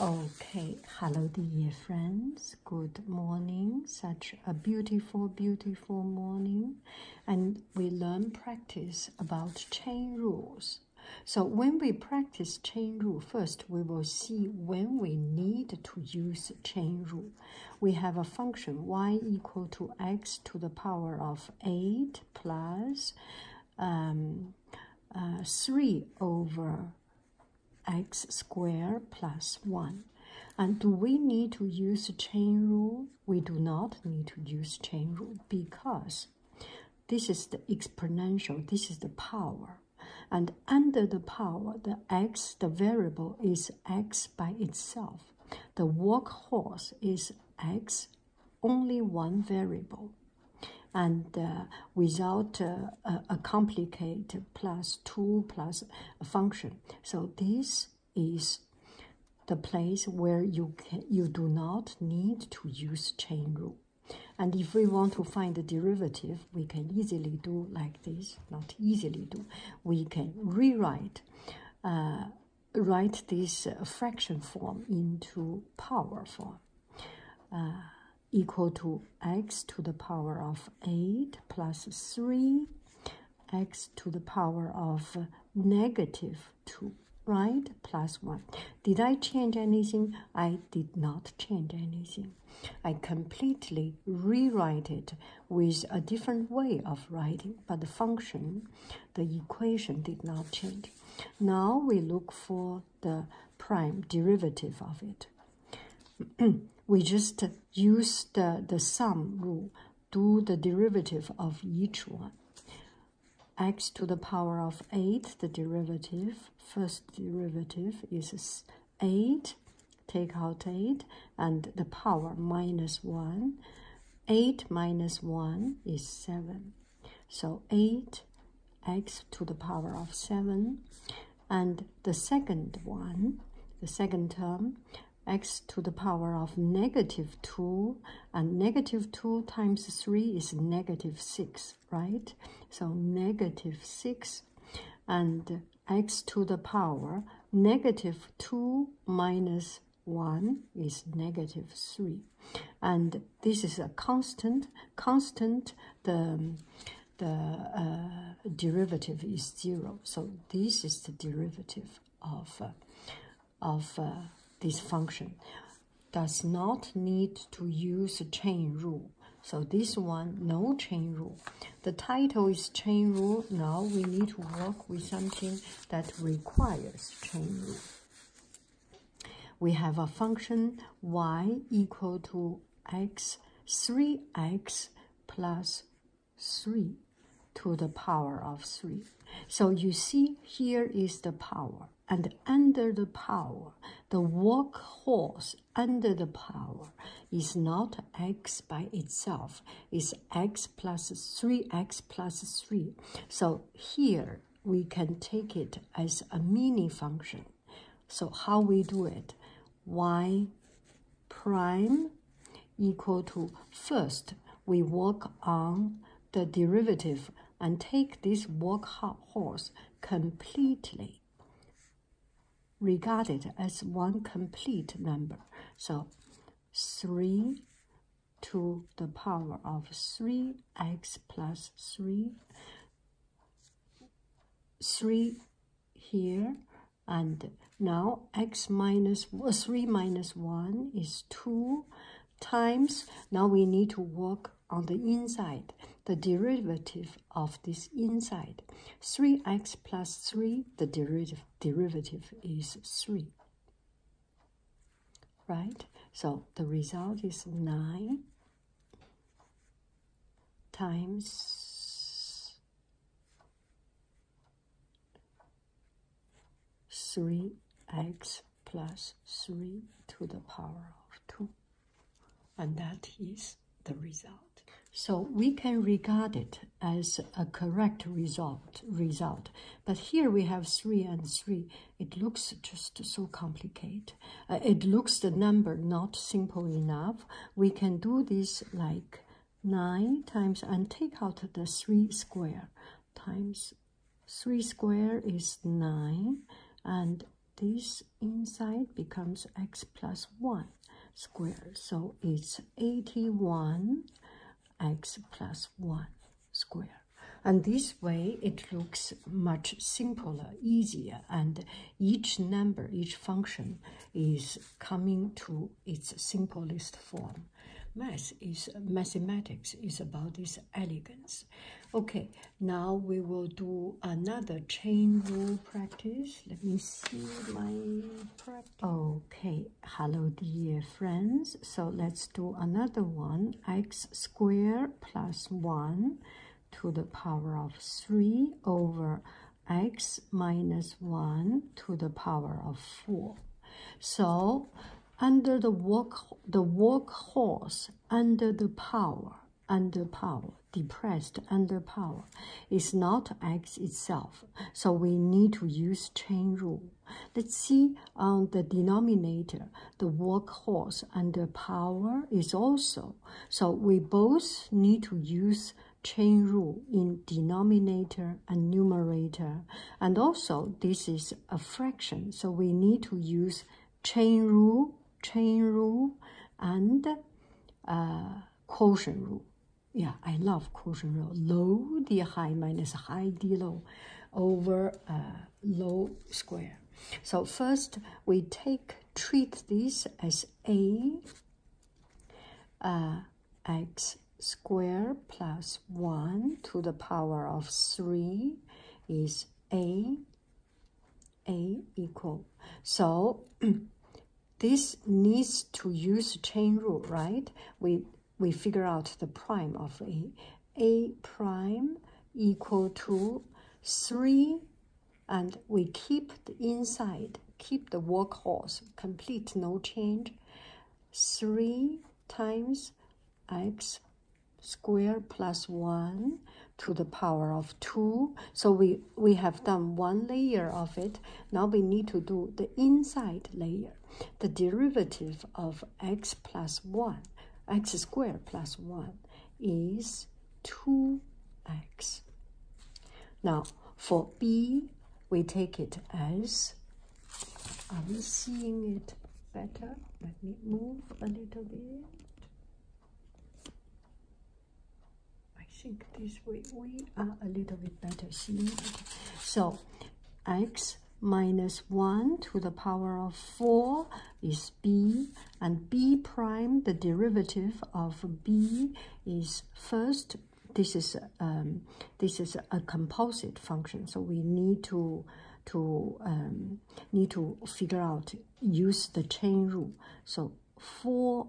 Okay, hello dear friends. Good morning. Such a beautiful, beautiful morning. And we learn practice about chain rules. So when we practice chain rule, first we will see when we need to use chain rule. We have a function y equal to x to the power of 8 plus um, uh, 3 over x squared plus 1. And do we need to use chain rule? We do not need to use chain rule because this is the exponential, this is the power. And under the power, the x, the variable is x by itself. The workhorse is x only one variable and uh, without uh, a complicated plus 2 plus function. So this is the place where you, you do not need to use chain rule. And if we want to find the derivative, we can easily do like this, not easily do. We can rewrite, uh, write this fraction form into power form uh, equal to x to the power of 8 plus 3 x to the power of negative 2 right plus 1 did i change anything i did not change anything i completely rewrite it with a different way of writing but the function the equation did not change now we look for the prime derivative of it. we just use the, the sum rule, do the derivative of each one. x to the power of 8, the derivative, first derivative is 8, take out 8, and the power minus 1. 8 minus 1 is 7. So 8x to the power of 7. And the second one, the second term, x to the power of negative 2. And negative 2 times 3 is negative 6, right? So negative 6. And x to the power negative 2 minus 1 is negative 3. And this is a constant. Constant, the, the uh, derivative is 0. So this is the derivative of, uh, of uh, this function. Does not need to use chain rule. So this one, no chain rule. The title is chain rule. Now we need to work with something that requires chain rule. We have a function y equal to x 3x plus 3 to the power of 3. So you see here is the power. And under the power, the workhorse under the power is not x by itself, it's x plus 3x plus 3. So here we can take it as a mini function. So how we do it? y prime equal to first we work on the derivative and take this workhorse completely regarded as one complete number. So 3 to the power of 3x plus 3, 3 here, and now x minus, 3 minus 1 is 2 times, now we need to work on the inside, the derivative of this inside. 3x plus 3, the derivative, derivative is 3. Right? So the result is 9 times 3x plus 3 to the power of 2. And that is the result. So we can regard it as a correct result. result. But here we have 3 and 3. It looks just so complicated. Uh, it looks the number not simple enough. We can do this like 9 times and take out the 3 square times 3 square is 9 and this inside becomes x plus 1 square so it's 81 x plus 1 square. And this way, it looks much simpler, easier, and each number, each function is coming to its simplest form. Math is mathematics is about this elegance. Okay, now we will do another chain rule practice. Let me see my practice. Okay, hello dear friends. So let's do another one. x squared plus 1 to the power of 3 over x minus 1 to the power of 4. So under the work the workhorse under the power under power depressed under power is not x itself so we need to use chain rule Let's see on um, the denominator, the workhorse and the power is also. So we both need to use chain rule in denominator and numerator. And also this is a fraction, so we need to use chain rule, chain rule, and uh, quotient rule yeah, I love Caution Row. Low, the high minus high D low over uh, low square. So first we take, treat this as A uh, x square plus 1 to the power of 3 is A, A equal. So this needs to use chain rule, right? We we figure out the prime of a a prime equal to 3 and we keep the inside keep the workhorse complete no change 3 times x square plus plus 1 to the power of 2 so we we have done one layer of it now we need to do the inside layer, the derivative of x plus 1, x squared plus 1 is 2x. Now for b, we take it as, are we seeing it better? Let me move a little bit. I think this way we are a little bit better seeing So x minus 1 to the power of 4 is b, and b prime, the derivative of b is first, this is, um, this is a composite function, so we need to to um, need to figure out use the chain rule so 4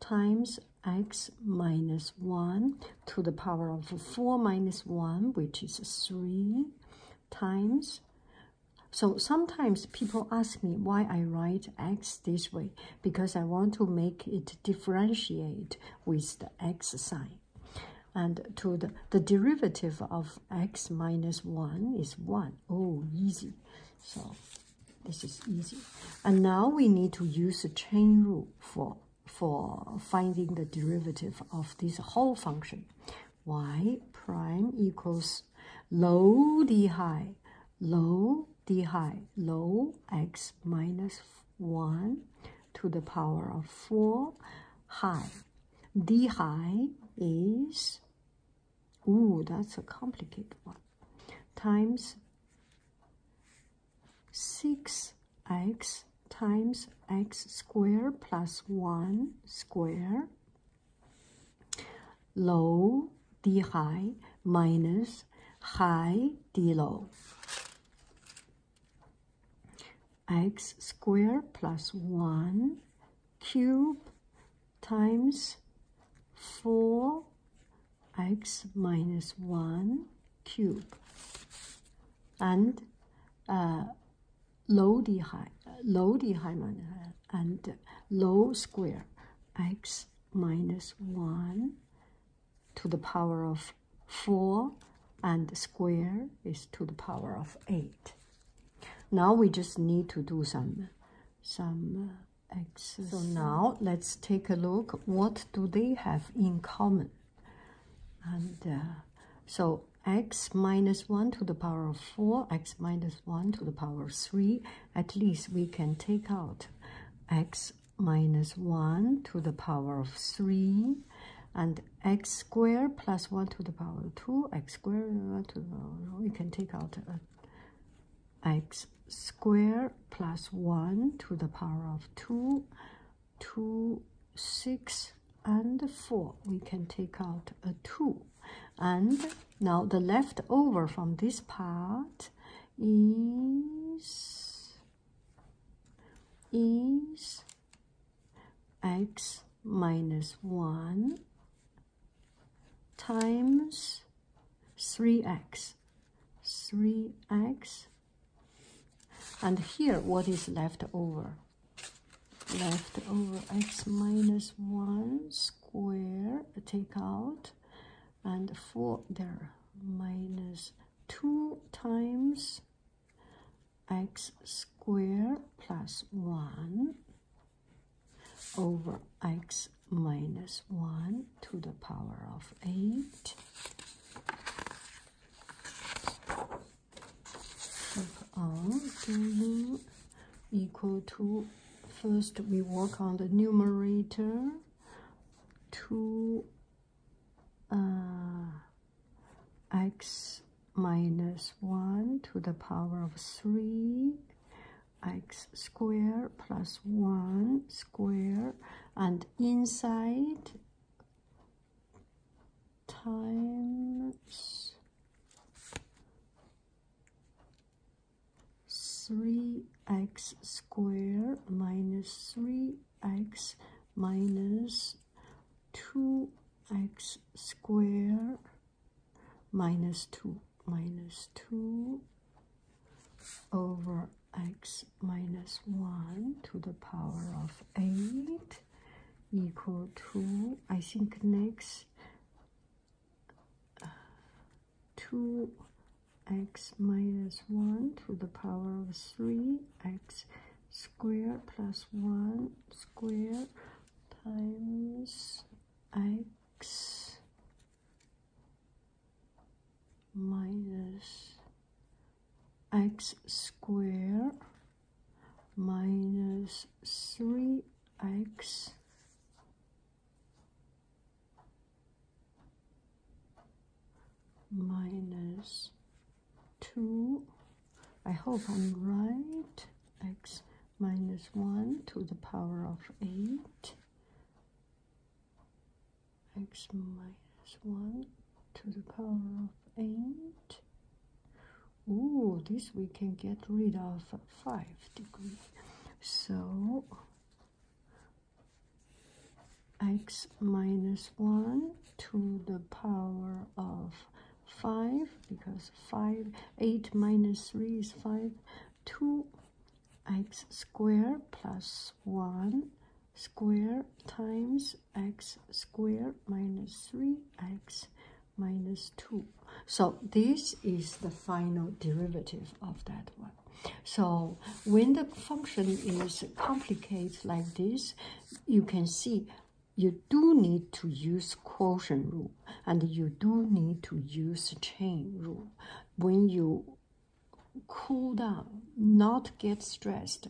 times x minus 1 to the power of 4 minus 1, which is 3 times. So sometimes people ask me why I write x this way, because I want to make it differentiate with the x sign. And to the, the derivative of x minus 1 is 1. Oh, easy. So this is easy. And now we need to use the chain rule for, for finding the derivative of this whole function. y prime equals low d high, low d high, low x minus 1 to the power of 4 high. d high is Ooh, that's a complicated one. Times 6x times x squared plus 1 square low d high minus high d low x squared plus 1 cube times 4x minus 1 cube and uh, low d high, low d high minus, and low square x minus 1 to the power of 4 and square is to the power of 8. Now we just need to do some, some uh, so now let's take a look. What do they have in common? And uh, so x minus 1 to the power of 4, x minus 1 to the power of 3, at least we can take out x minus 1 to the power of 3, and x squared plus 1 to the power of 2, x squared uh, to we can take out uh, x squared plus 1 to the power of 2, 2, 6, and 4. We can take out a 2. And now the leftover from this part is, is x minus 1 times 3x 3x and here what is left over left over x minus 1 square take out and 4 there minus 2 times x square plus 1 over x minus 1 to the power of 8. Keep on doing equal to, first we work on the numerator, 2 uh, x minus 1 to the power of 3 x squared plus plus 1 squared, and inside times 3x squared minus 3x minus 2x squared minus 2 minus 2 over x minus 1 to the power of 8 equal to, I think next, 2x minus 1 to the power of 3x squared plus 1 squared times x minus x squared minus 3x minus 2 I hope I'm right. X minus 1 to the power of 8. X minus 1 to the power of 8. Ooh, this we can get rid of 5 degree. So, x minus 1 to the power of 5 because 5 8 minus 3 is 5 2x square plus 1 square times x square minus 3x minus 2 so this is the final derivative of that one so when the function is complicated like this you can see you do need to use quotient rule and you do need to use chain rule when you cool down not get stressed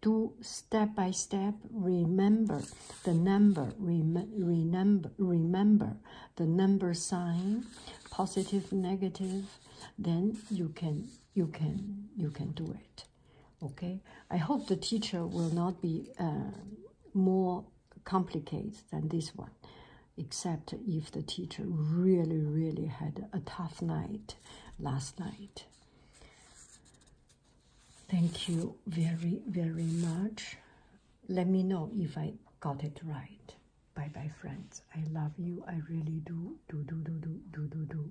do step by step remember the number rem remember remember the number sign positive negative then you can you can you can do it Okay, I hope the teacher will not be uh, more complicated than this one, except if the teacher really, really had a tough night last night. Thank you very, very much. Let me know if I got it right. Bye bye, friends. I love you. I really do. Do, do, do, do, do, do, do.